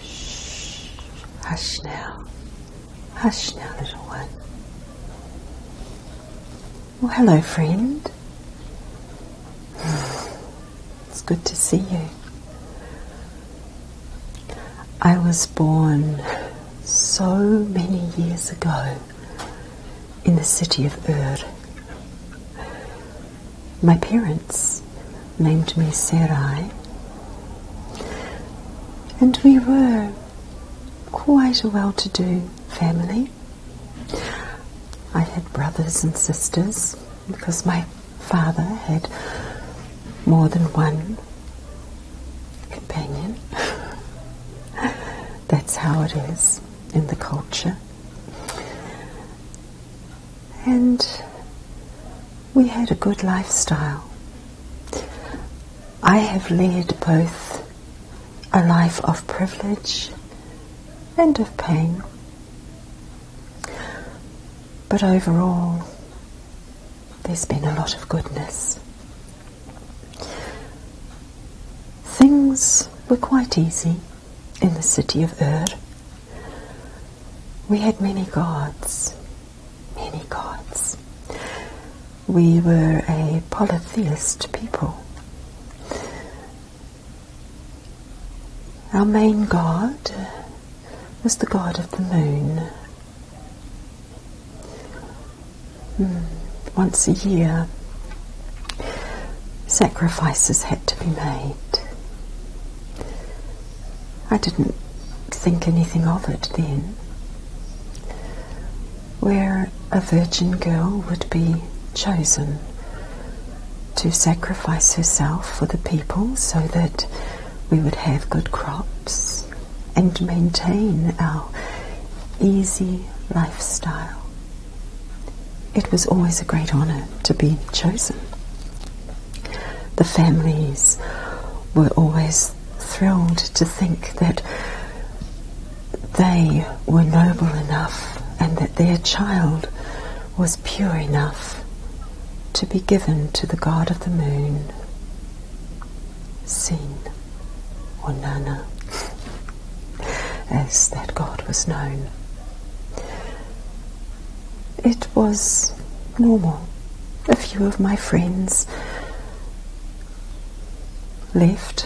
Shh. Hush now. Hush now, little one. Well, hello, friend. It's good to see you. I was born so many years ago in the city of Ur. My parents named me Serai, And we were quite a well to do family. I had brothers and sisters because my father had more than one companion. That's how it is in the culture and we had a good lifestyle. I have led both a life of privilege and of pain. But overall, there's been a lot of goodness. Things were quite easy in the city of Ur. We had many gods many gods. We were a polytheist people. Our main god was the god of the moon. Hmm, once a year, sacrifices had to be made. I didn't think anything of it then. Where a virgin girl would be chosen to sacrifice herself for the people so that we would have good crops and maintain our easy lifestyle. It was always a great honour to be chosen. The families were always thrilled to think that they were noble enough and that their child was pure enough to be given to the god of the moon, Sin or Nana, as that god was known. It was normal. A few of my friends left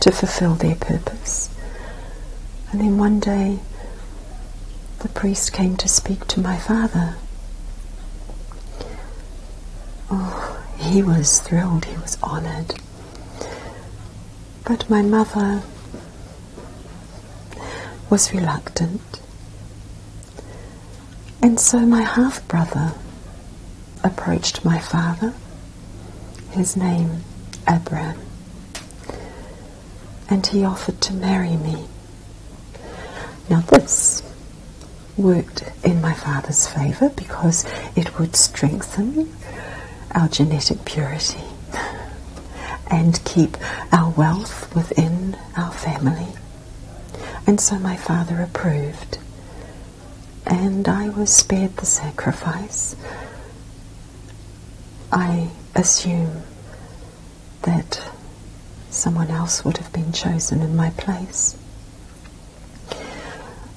to fulfill their purpose. And then one day, the priest came to speak to my father. Oh, he was thrilled, he was honored. But my mother was reluctant. And so my half brother approached my father, his name Abraham, and he offered to marry me. Now, this worked in my father's favour because it would strengthen our genetic purity and keep our wealth within our family. And so my father approved, and I was spared the sacrifice. I assume that someone else would have been chosen in my place.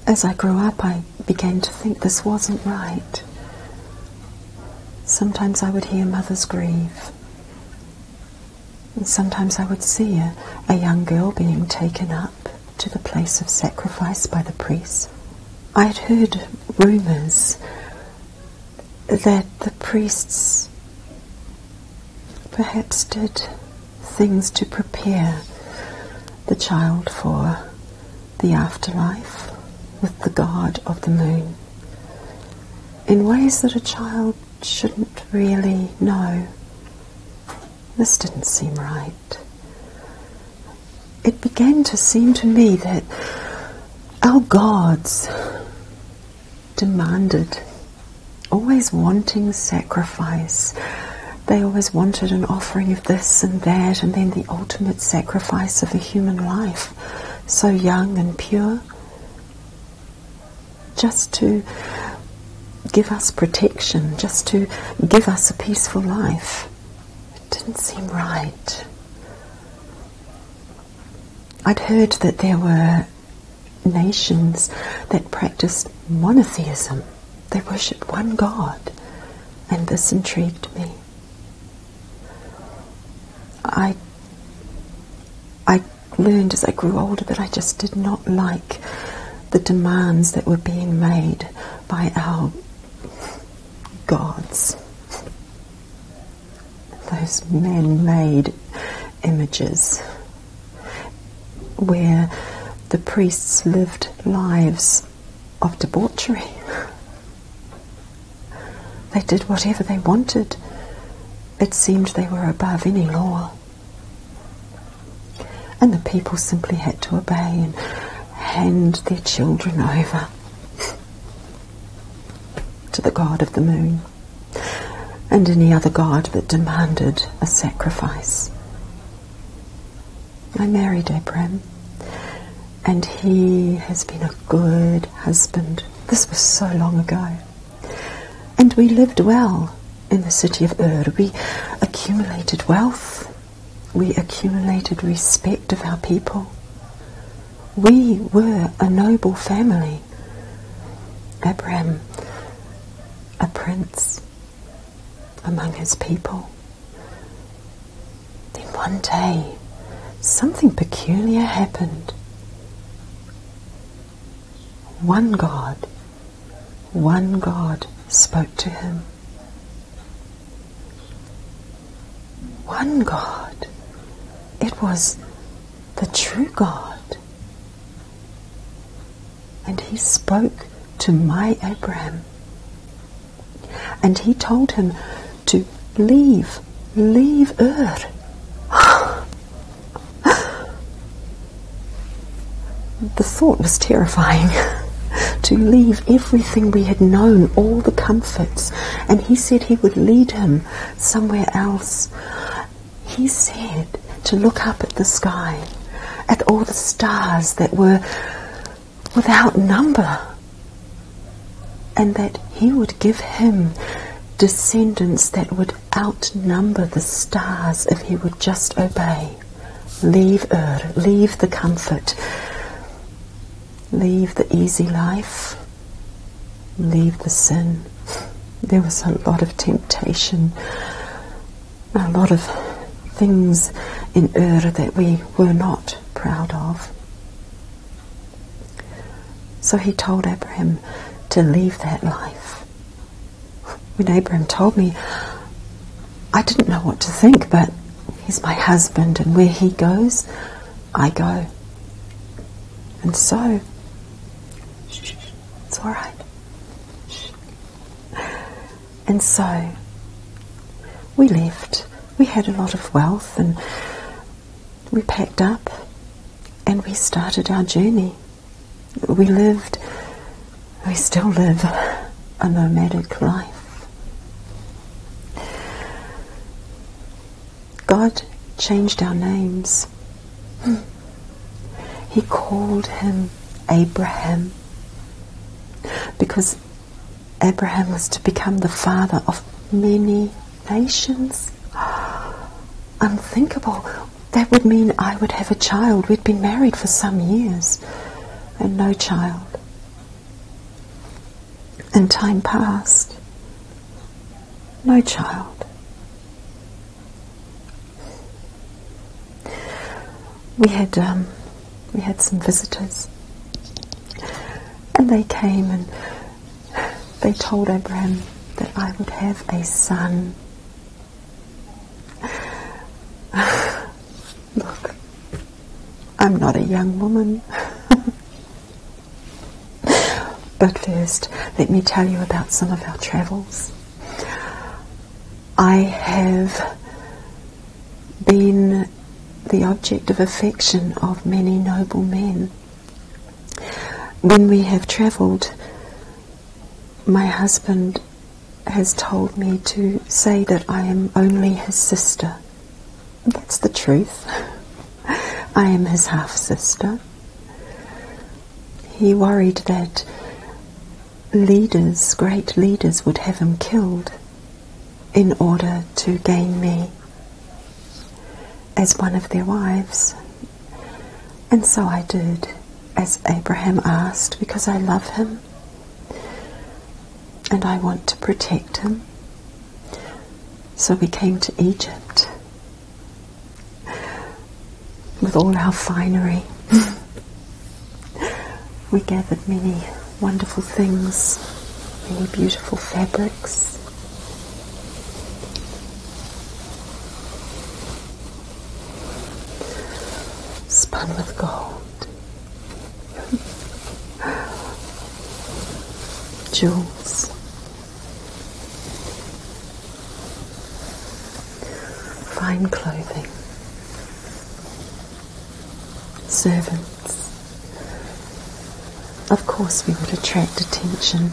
As I grew up, I began to think this wasn't right. Sometimes I would hear mothers grieve, and sometimes I would see a, a young girl being taken up to the place of sacrifice by the priests. I had heard rumours that the priests perhaps did things to prepare the child for the afterlife with the god of the moon in ways that a child shouldn't really know. This didn't seem right. It began to seem to me that our gods demanded, always wanting sacrifice. They always wanted an offering of this and that, and then the ultimate sacrifice of a human life, so young and pure just to give us protection, just to give us a peaceful life. It didn't seem right. I'd heard that there were nations that practiced monotheism, they worshipped one God, and this intrigued me. I, I learned as I grew older that I just did not like the demands that were being made by our gods. Those man made images where the priests lived lives of debauchery. They did whatever they wanted it seemed they were above any law. And the people simply had to obey and hand their children over to the god of the moon and any other god that demanded a sacrifice. I married Abram, and he has been a good husband. This was so long ago. And we lived well in the city of Ur. We accumulated wealth, we accumulated respect of our people. We were a noble family. Abraham, a prince among his people. Then one day, something peculiar happened. One God, one God spoke to him. One God. It was the true God. And he spoke to my Abraham. And he told him to leave, leave Ur. the thought was terrifying. to leave everything we had known, all the comforts, and he said he would lead him somewhere else. He said to look up at the sky, at all the stars that were without number, and that he would give him descendants that would outnumber the stars if he would just obey. Leave Ur, leave the comfort, leave the easy life, leave the sin. There was a lot of temptation, a lot of things in Ur that we were not proud of. So he told Abraham to leave that life. When Abraham told me, I didn't know what to think, but he's my husband, and where he goes, I go. And so, it's all right. And so, we left. We had a lot of wealth, and we packed up, and we started our journey. We lived, we still live, a nomadic life. God changed our names. He called him Abraham because Abraham was to become the father of many nations. Unthinkable. That would mean I would have a child. We'd been married for some years and no child. And time passed. No child. We had um, we had some visitors, and they came and they told Abraham that I would have a son. Look, I'm not a young woman. but first, let me tell you about some of our travels. I have been the object of affection of many noble men. When we have travelled, my husband has told me to say that I am only his sister. That's the truth. I am his half sister. He worried that leaders, great leaders, would have him killed in order to gain me as one of their wives. And so I did, as Abraham asked, because I love him and I want to protect him. So we came to Egypt with all our finery. we gathered many wonderful things, many beautiful fabrics spun with gold, jewels. Fine clothing, servants. Of course, we would attract attention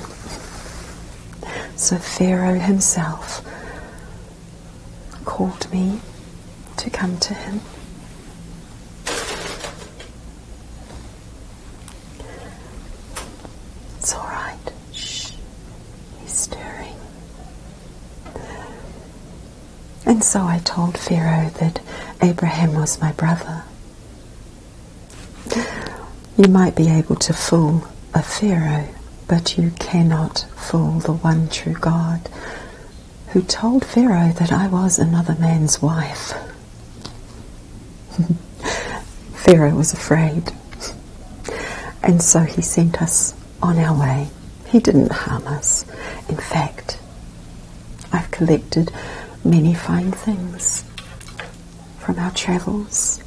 so Pharaoh himself called me to come to him. It's all right. Shh. He's stirring. And so I told Pharaoh that Abraham was my brother. You might be able to fool a Pharaoh, but you cannot fool the one true God who told Pharaoh that I was another man's wife. Pharaoh was afraid, and so he sent us on our way. He didn't harm us. In fact, I've collected many fine things from our travels.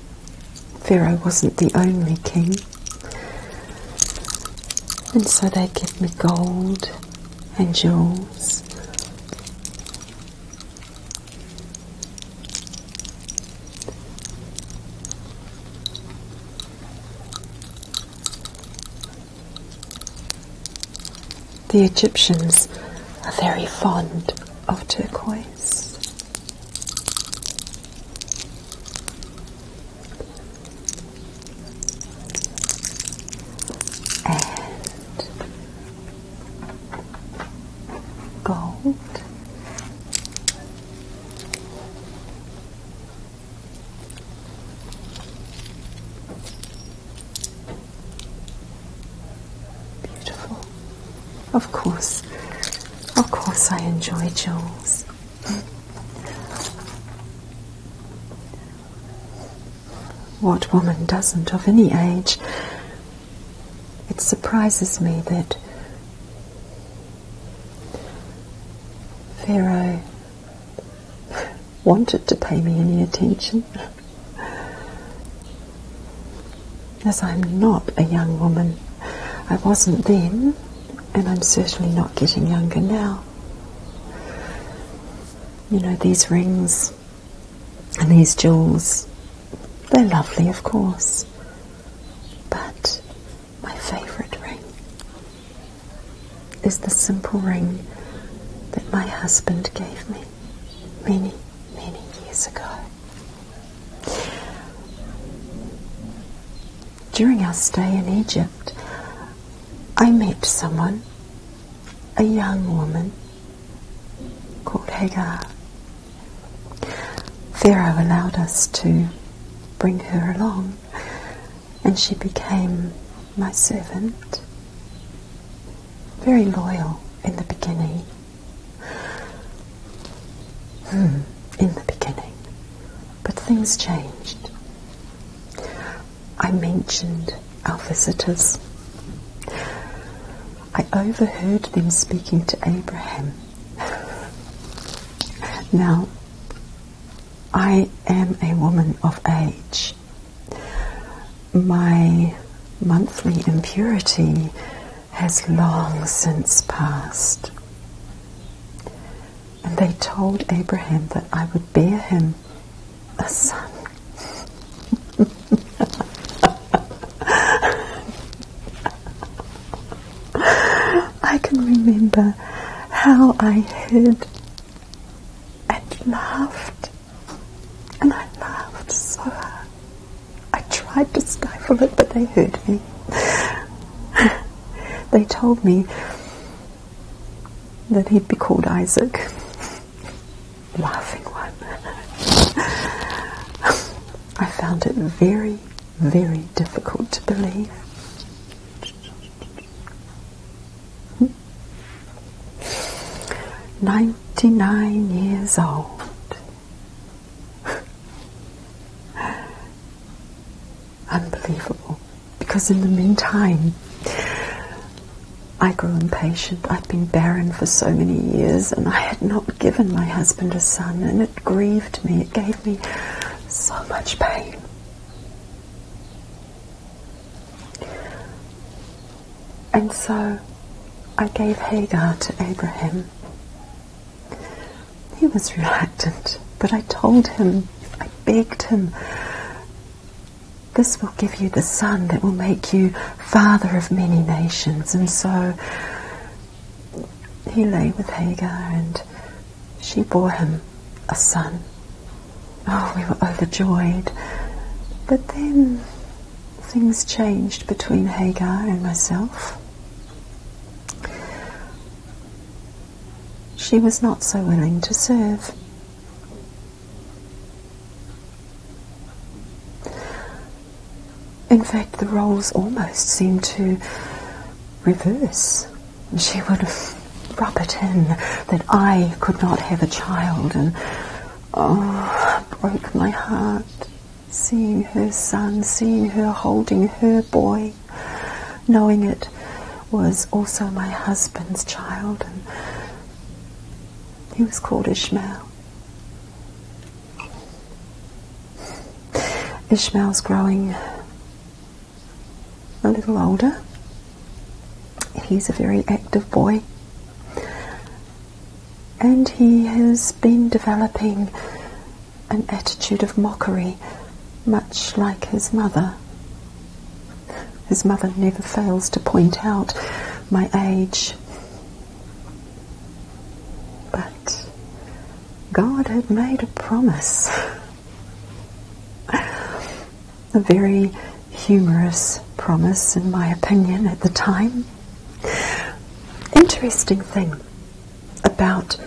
Pharaoh wasn't the only king. And so they give me gold and jewels. The Egyptians are very fond of turquoise and gold. Beautiful. Of course, of course, I enjoy jewels. What woman doesn't of any age? It surprises me that Pharaoh wanted to pay me any attention as I'm not a young woman. I wasn't then, and I'm certainly not getting younger now. You know, these rings and these jewels, they're lovely, of course, but my favourite ring is the simple ring that my husband gave me many, many years ago. During our stay in Egypt, I met someone, a young woman called Hagar. Pharaoh allowed us to bring her along, and she became my servant. Very loyal in the beginning, Hmm, in the beginning. But things changed. I mentioned our visitors. I overheard them speaking to Abraham. Now, I am a woman of age. My monthly impurity has long since passed. And they told Abraham that I would bear him a son. I can remember how I hid and laughed, and I laughed so hard. I tried to stifle it, but they heard me. they told me that he'd be called Isaac. Laughing one. I found it very, very difficult to believe. Hmm? Ninety nine years old. Unbelievable. Because in the meantime, I grew impatient. I'd been barren for so many years and I had not given my husband a son, and it grieved me. It gave me so much pain. And so I gave Hagar to Abraham. He was reluctant, but I told him, I begged him, this will give you the son that will make you father of many nations. And so he lay with Hagar and she bore him a son. Oh, we were overjoyed. But then things changed between Hagar and myself. She was not so willing to serve. In fact, the roles almost seemed to reverse. She would rub it in that I could not have a child, and oh, broke my heart seeing her son, seeing her holding her boy, knowing it was also my husband's child, and he was called Ishmael. Ishmael's growing a little older. He's a very active boy. And he has been developing an attitude of mockery, much like his mother. His mother never fails to point out my age. But God had made a promise. a very humorous promise, in my opinion, at the time. Interesting thing about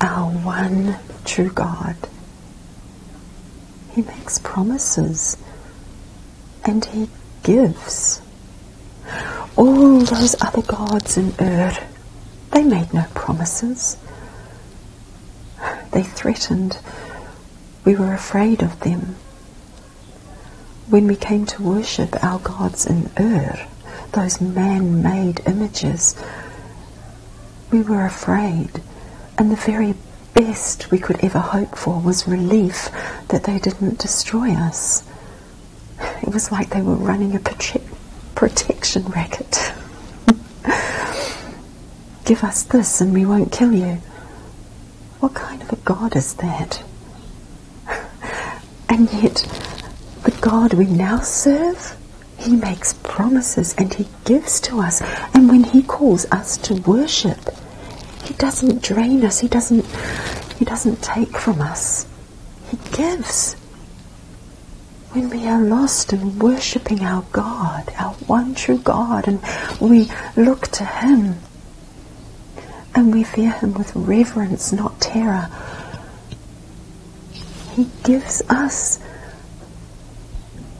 our one true God. He makes promises and he gives. All those other gods in Ur, they made no promises. They threatened. We were afraid of them. When we came to worship our gods in Ur, those man made images, we were afraid. And the very best we could ever hope for was relief that they didn't destroy us. It was like they were running a protection racket. Give us this and we won't kill you. What kind of a God is that? And yet, the God we now serve, He makes promises and He gives to us. And when He calls us to worship, He doesn't drain us, He doesn't, he doesn't take from us, He gives. When we are lost in worshipping our God, our one true God, and we look to Him, and we fear him with reverence, not terror. He gives us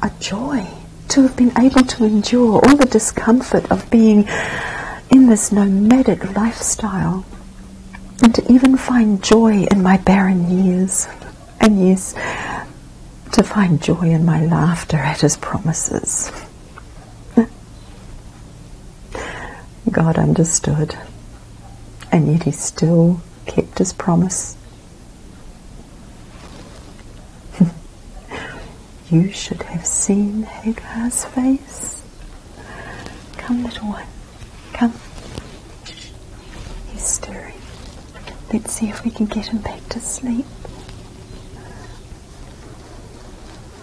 a joy to have been able to endure all the discomfort of being in this nomadic lifestyle and to even find joy in my barren years. And years. to find joy in my laughter at his promises. God understood. And yet he still kept his promise. you should have seen Hagar's face. Come, little one. Come. He's stirring. Let's see if we can get him back to sleep.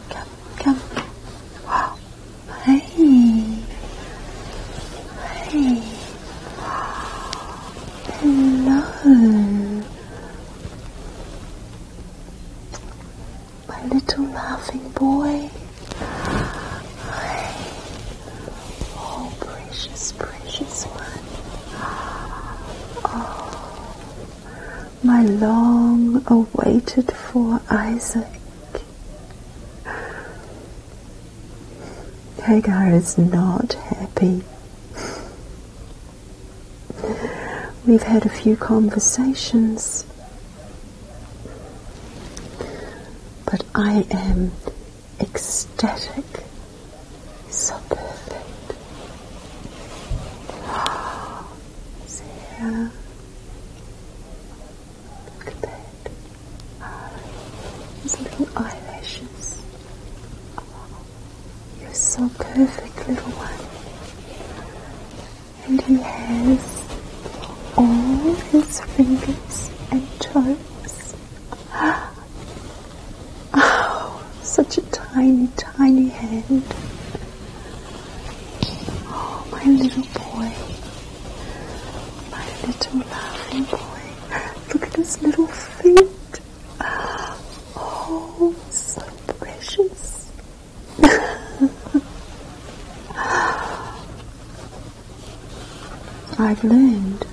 Come, come. Wow my little laughing boy. Hey, oh precious, precious one. Oh, my long awaited for Isaac. Hagar is not happy. We've had a few conversations, but I am ecstatic. So perfect. Sarah, Look at that. his little eyelashes. you're so perfect, little one. And he has all his fingers and toes. Oh, such a tiny, tiny hand. Oh, my little boy. My little laughing boy. Look at his little feet. Ah, oh, so precious. I've learned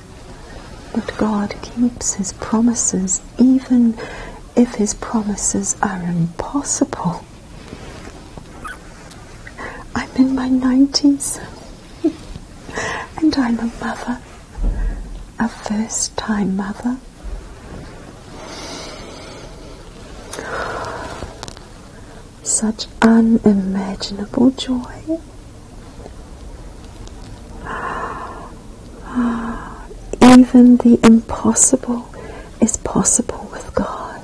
that God keeps his promises even if his promises are impossible. I'm in my 90s. and I'm a mother, a first time mother. Such unimaginable joy. Even the impossible is possible with God.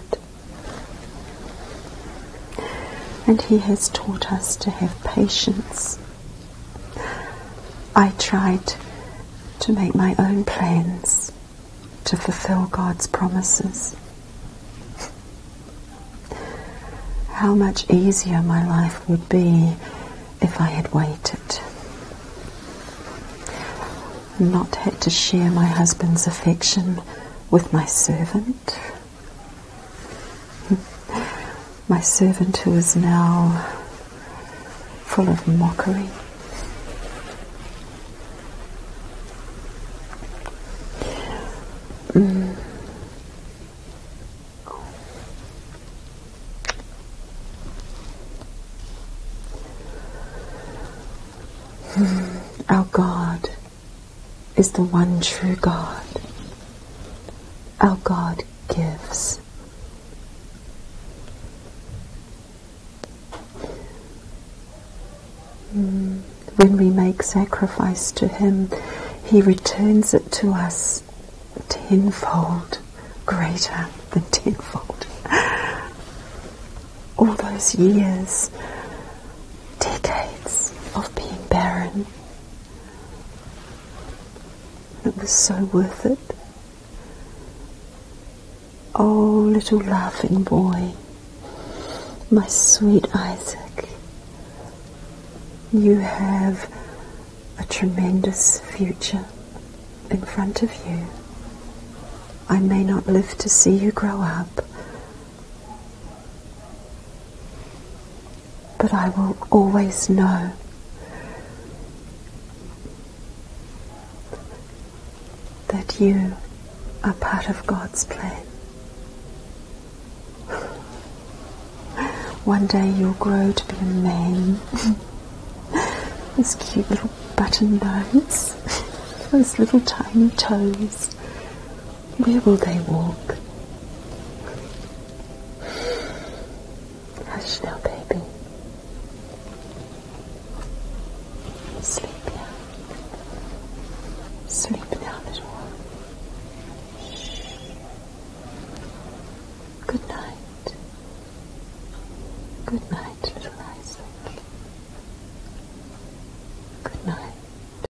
And He has taught us to have patience. I tried to make my own plans to fulfill God's promises. How much easier my life would be if I had waited. Not had to share my husband's affection with my servant. my servant who is now full of mockery. Mm. Mm. Our God is the one true God. Our God gives. Hmm. When we make sacrifice to Him, He returns it to us tenfold, greater than tenfold. All those years decades of being barren. It was so worth it. Oh, little laughing boy, my sweet Isaac, you have a tremendous future in front of you. I may not live to see you grow up, but I will always know that you are part of God's plan. One day you'll grow to be a man. Those cute little button nose, those little tiny toes, where will they walk? Hush now, baby. Sleep now. Sleep now, little one. Good night. Good night, little Isaac. Good night.